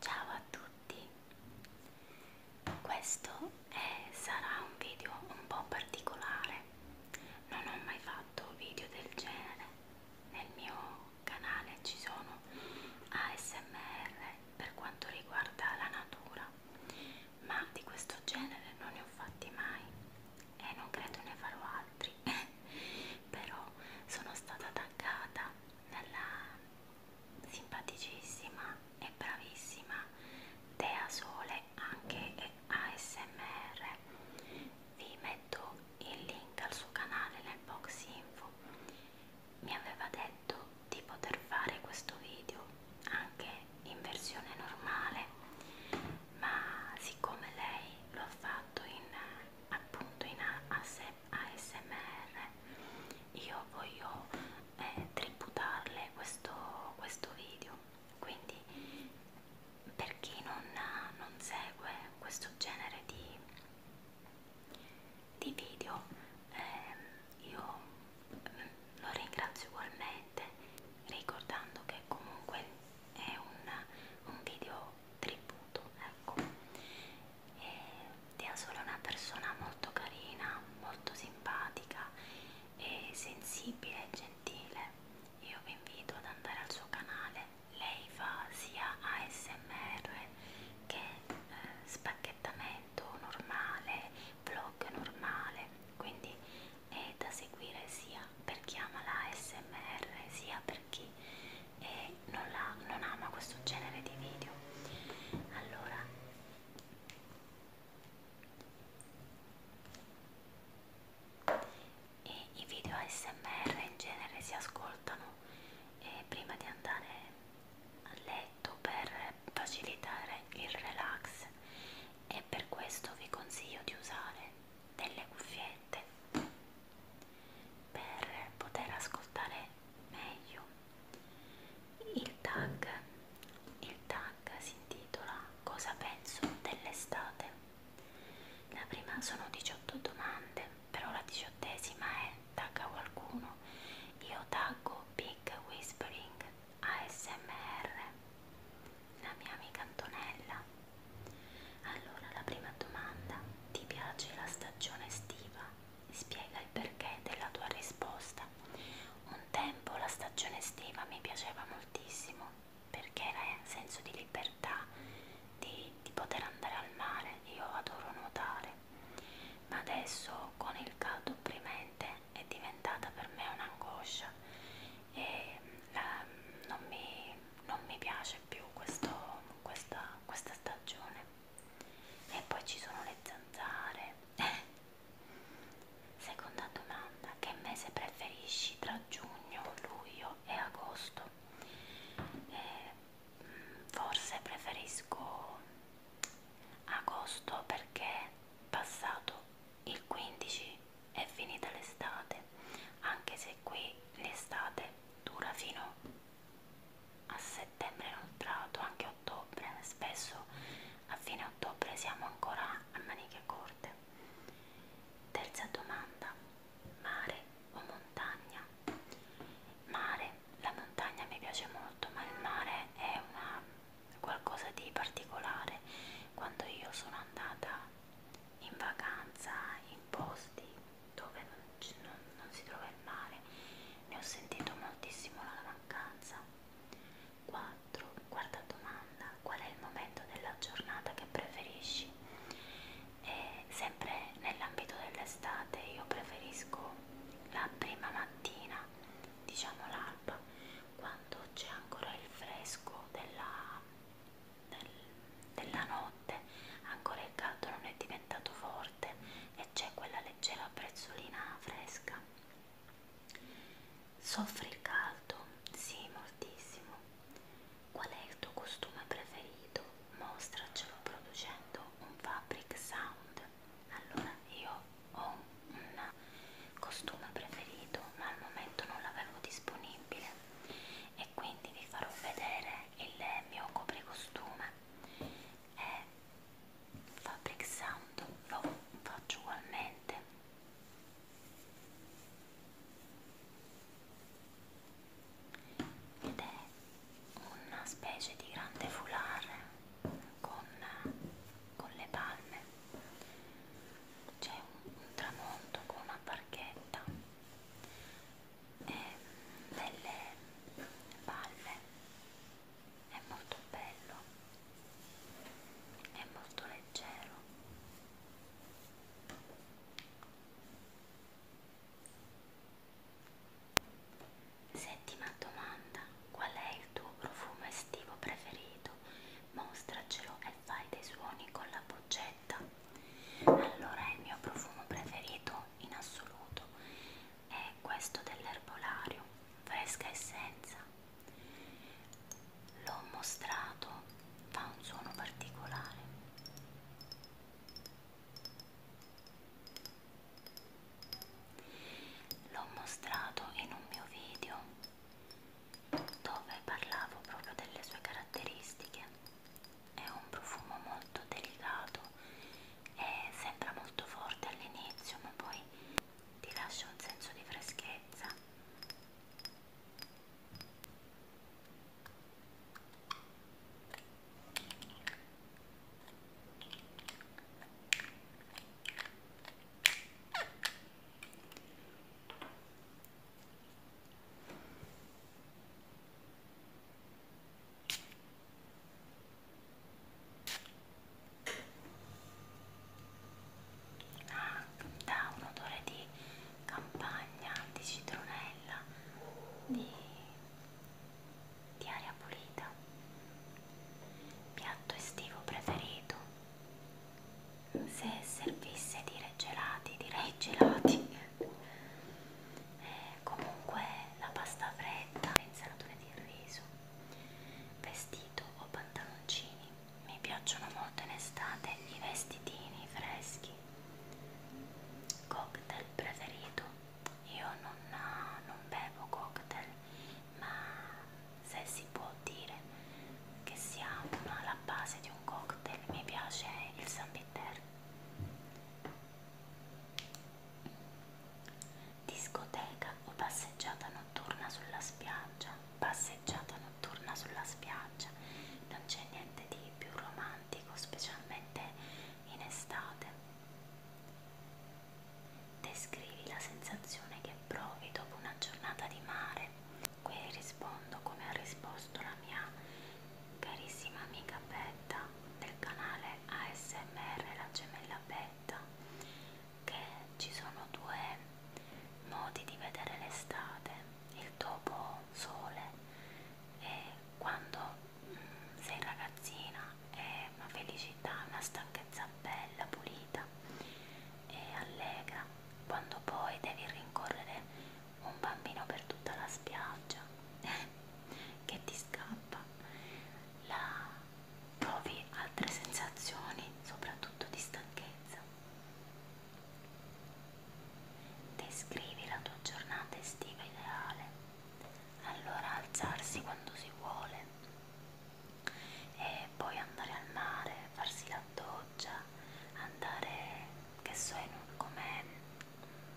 Ciao a tutti, questo è, sarà un video un po' particolare, non ho mai fatto video del genere, nel mio canale ci sono ASMR per quanto riguarda la natura, ma di questo genere non ne ho fatti mai e non credo ne farò altri fuori però sono stata taggata nella simpaticissima e bravissima Tea Sole anche ASMR vi metto il link al suo canale nel box info mi aveva detto di poter fare questo video anche in versione normale ma siccome lei lo ha fatto in, appunto in ASMR io voglio eh, tributarle questo, questo video quindi per chi non, non segue questo genere di, di video eh, io lo ringrazio ugualmente velocemente ricordando che comunque è un, un video tributo ecco e Tia Sole è una persona molto carina molto simpatica e sensibile e gentile io vi invito ad andare al suo canale lei fa sia ASMR che eh, spacchettamento normale vlog normale quindi è da seguire sia per chi ama la ASMR sia per chi eh, non, la, non ama questo genere di video. Allora, e i video ASMR in genere si ascoltano eh, prima di andare a letto per facilitare il relax e per questo vi consiglio di usare delle cuffiette per poter ascoltare meglio il tag il tag si intitola cosa penso dell'estate la prima sono 18 domande però la diciottesima è tagga qualcuno io taggo big whispering ASMR, la mia amica Antonella. Allora, la prima domanda, ti piace la stagione estiva? Spiega il perché della tua risposta. Un tempo la stagione estiva mi piaceva moltissimo perché era senso di libertà, di, di poter andare al mare, io adoro nuotare, ma adesso con il caldo opprimente è diventata per me un'angoscia e mm, la, non, mi, non mi piace più questo, questa, questa stagione e poi ci sono le zanzare seconda domanda che mese preferisci tra giugno, luglio e agosto? Eh, mm, forse preferisco agosto perché passato il 15 è finita l'estate, anche se qui l'estate dura fino a settembre inoltrato, anche ottobre, spesso a fine ottobre siamo ancora a maniche corte. Terza domanda, mare o montagna? Mare, la montagna mi piace molto, ma il mare è una qualcosa di particolare quando io sono andata in vacanza in posti dove non, non, non si trova il mare ne ho sentito moltissimo la mancanza 4 quarta domanda qual è il momento della giornata che preferisci e sempre nell'ambito dell'estate io preferisco la prima mattina diciamo l'alba quando c'è ancora il fresco della, del, della notte, ancora il caldo non è diventato forte e c'è quella leggera prezzolina fresca. Soffri il caldo? Sì, moltissimo. Qual è il tuo costume preferito? Mostracelo producendo un fabric sound allora io ho un costume preferito ma al momento non l'avevo disponibile e quindi vi farò vedere il mio copricostume è Fabric Sound lo faccio ugualmente ed è una specie di grande foulard con con le palme c'è un, un tramonto con una barchetta e delle palme è molto bello è molto leggero Settima domanda: qual è il tuo profumo estivo preferito? Mostracelo e fai dei suoni con la boccetta. Allora, il mio profumo preferito in assoluto è questo dell'erbolario, fresca essenza. L'ho mostrato, fa un suono particolare l'ho mostrato in un mio video dove parlavo proprio delle sue caratteristiche è un profumo molto delicato e sembra molto forte all'inizio ma poi ti lascia un senso di freschezza Ah, dà un odore di campagna, di citronella, di di aria pulita. Piatto estivo preferito? Se servisse dire gelati, direi gelati. Eh, comunque la pasta fredda, le insalatone di riso, vestito o pantaloncini. Mi piacciono molto in estate i vestitini freschi. Cocktail preferito? io non, eh, non bevo cocktail ma se si può dire che sia una, la base di un cocktail mi piace il San Peter discoteca o passeggiata notturna sulla spiaggia passeggiata notturna sulla spiaggia non c'è niente di più romantico specialmente in estate Descrivi la sensazione che provi dopo una giornata di mare. Qui rispondo come ha risposto la mia carissima amica Betta del canale ASMR La Gemella Betta, che ci sono due modi di vedere l'estate, il dopo sole e quando sei ragazzina è una felicità, una stanchezza bella, pulita e allegra quando poi devi rincorrere un bambino per tutta la spiaggia che ti scappa la provi altre sensazioni soprattutto di stanchezza descrivi la tua giornata estiva ideale allora alzarsi quando si vuole e poi andare al mare, farsi la doccia, andare che so come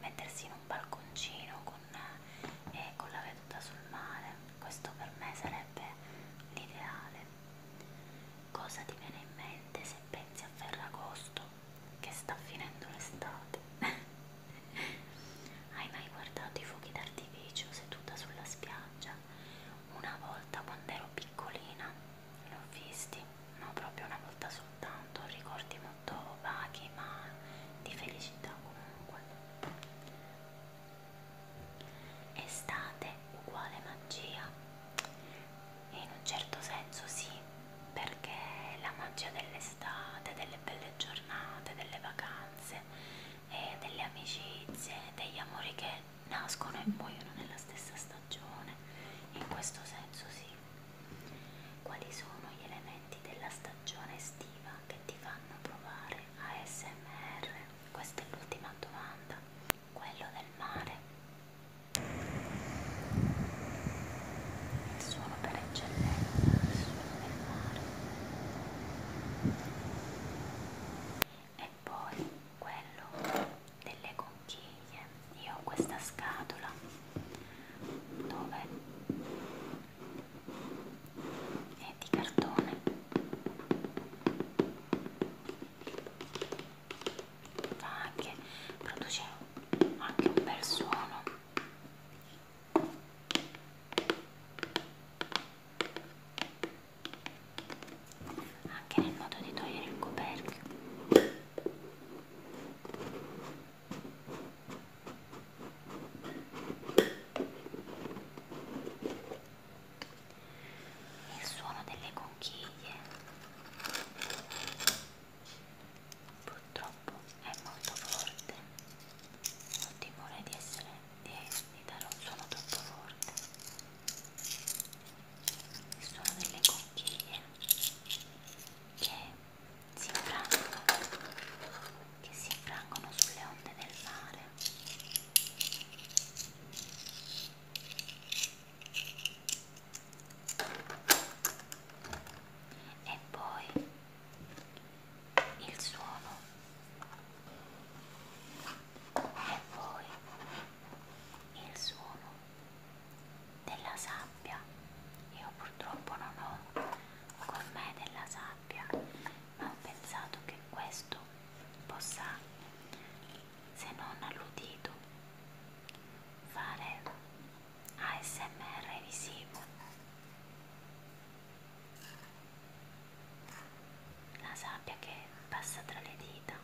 mettersi in un balconcino con, eh, con la veduta sul mare, questo per me sarebbe l'ideale. Cosa ti viene in mente se pensi a Ferragosto? che sta finendo l'estate. Hai mai guardato i fuochi d'artificio seduta sulla spiaggia? Una volta quando ero piccolina li ho visti, no proprio una volta soltanto, ricordi molto vaghi ma di felicità comunque. Estate uguale magia? In un certo senso sì, perché la magia dell'estate dell'estate, delle belle giornate, delle vacanze, e delle amicizie, degli amori che nascono e muoiono nella stessa stagione. In questo senso sì. Quali sono gli elementi della stagione estiva che ti fanno provare ASMR? Questa è l'ultima domanda. Quello del mare il suono per eccellenza, il suono del mare e poi quello delle conchiglie io ho questa scatola dove è di cartone ma anche produce anche un bel suono anche nel modo di togliere il coperchio il suono delle conchiglie purtroppo è molto forte ho timore di essere di, di dare un suono troppo forte il suono delle conchiglie che si infrangono che si infrangono sulle onde del mare e poi il suono e poi il suono della sabbia io purtroppo non ho con me della sabbia ma ho pensato che questo possa se non all'udito, fare ASMR visivo, la sabbia che passa tra le dita.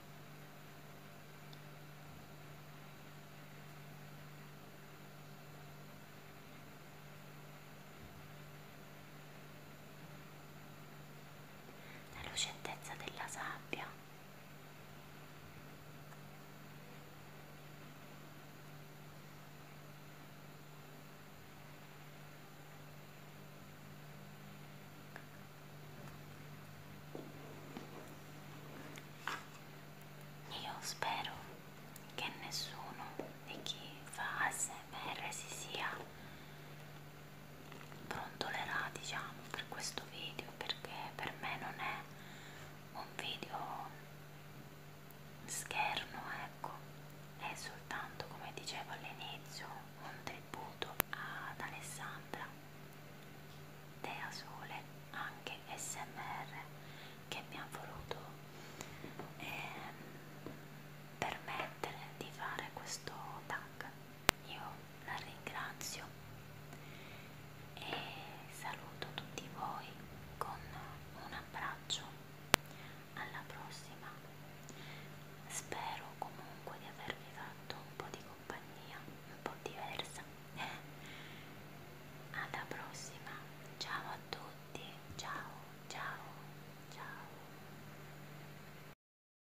La lucentezza della sabbia io spero che nessuno di chi fa ASMR si sia brontolerà diciamo per questo video perché per me non è un video scherno ecco è soltanto come dicevo all'inizio un tributo ad Alessandra Dea Sole anche SMR che mi ha voluto eh, permettere di fare questo tag io la ringrazio e saluto tutti voi con un abbraccio. Alla prossima. Spero comunque di avervi fatto un po' di compagnia, un po' diversa. Alla prossima. Ciao a tutti. Ciao, ciao, ciao.